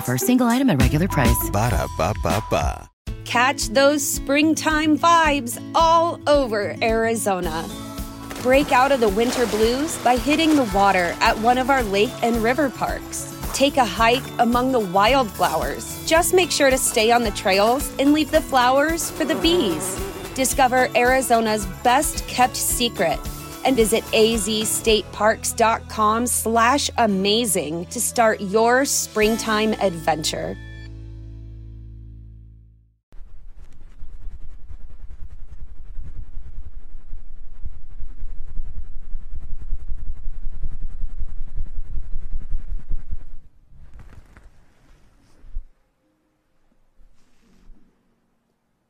offer, single item at regular price. Catch those springtime vibes all over Arizona. Break out of the winter blues by hitting the water at one of our lake and river parks. Take a hike among the wildflowers. Just make sure to stay on the trails and leave the flowers for the bees. Discover Arizona's best kept secret and visit AZ State stateparks.com slash amazing to start your springtime adventure.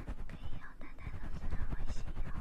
可以要丹丹老师的微信吗？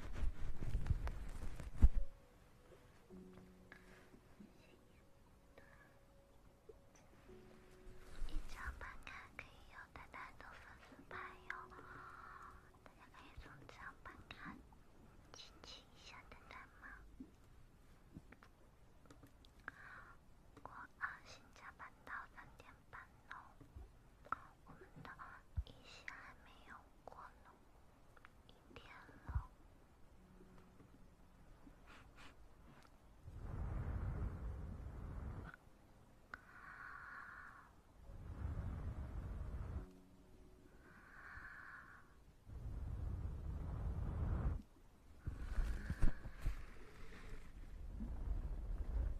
夜场版看可以有淡淡的粉丝牌哟，大家可以从夜场看，亲亲一下蛋蛋吗？我啊，新加班到三点半喽。我们的一些还没有过呢，一点了。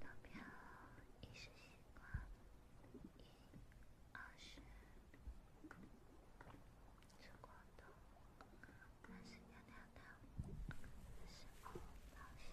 投票，饮食习惯，一二十，吃广东，但是娘娘道，不是老乡。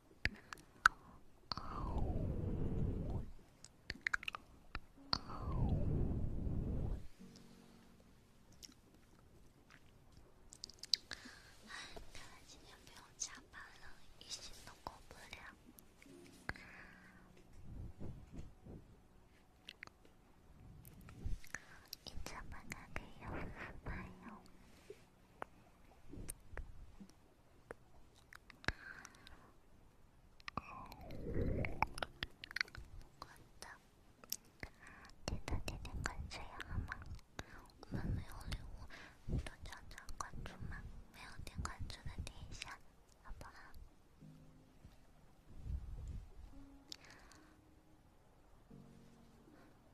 看来今天不用加班了，一心都过不了。一加班，那个又不买哟。感谢点赞、点赞、点赞，感谢呀！好吗？我们没有礼物，都加加关注嘛！没有点关注的点一下，好不好？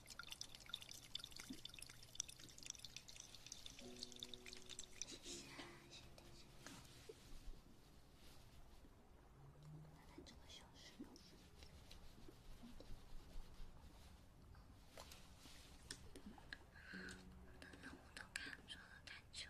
谢谢，先等下。看看这个消失。等等，我都看错了太久。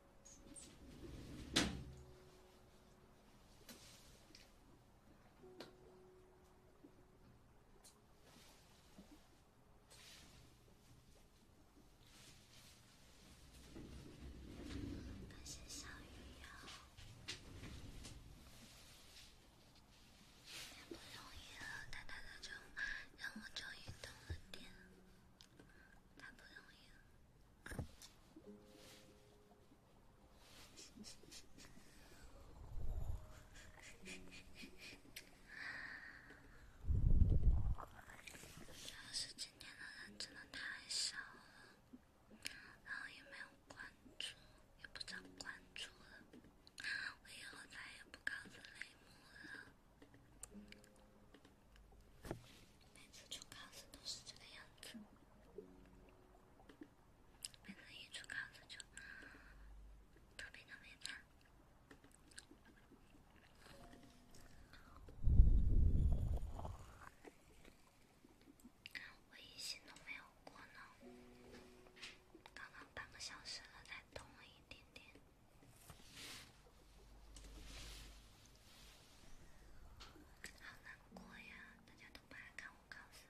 感谢小雨呀，太不容易了！大大的雨让我终于通了电，太不容易了。主要是今天的人真的太少了，然后也没有关注，也不知道关注了。我以后再也不搞这类幕了。每次出考试都是这个样子，每次一出考试就特别特别难。我一心都没有过呢，刚刚半个小时了才动了一点点。好难过呀，大家都不爱看我考试。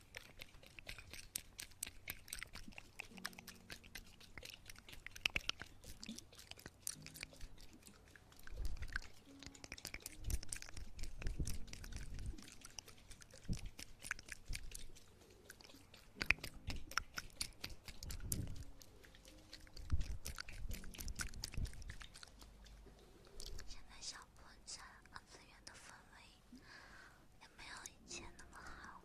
现在，小破站二次元的氛围。也没有以前那么好了。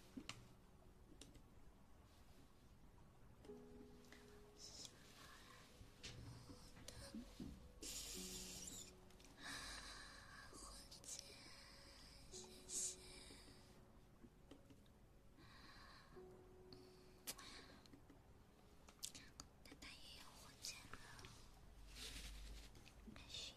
小海，我的火箭，谢谢，丹丹也有火箭了，开心。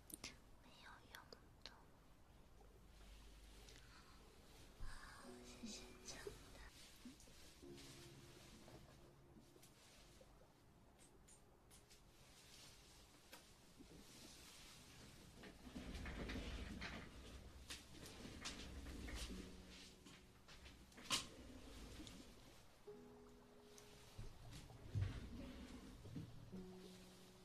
没有用的。好，谢谢蒋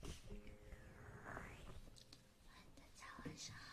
大家晚上好。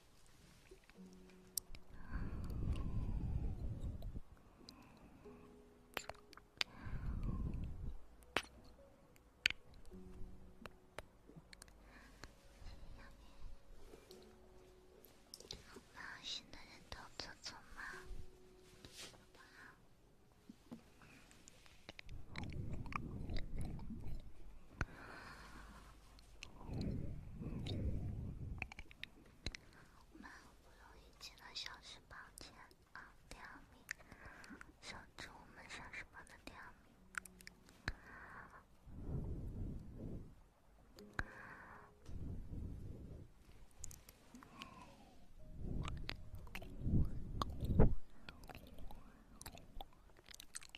好，新的人都坐坐吗？我们好不容易进了小时包间啊，第二名。小猪，我们小时包的第二名。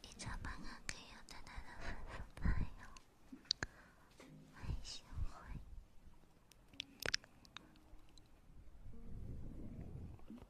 你早上给我的那个粉粉朋友，还喜欢。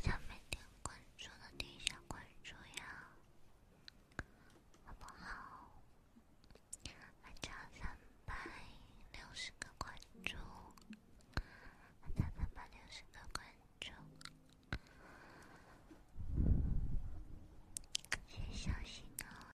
想每天关注的点下关注呀，好不好？还差三百六十个关注，还差三百六十个关注。谢谢小新呢。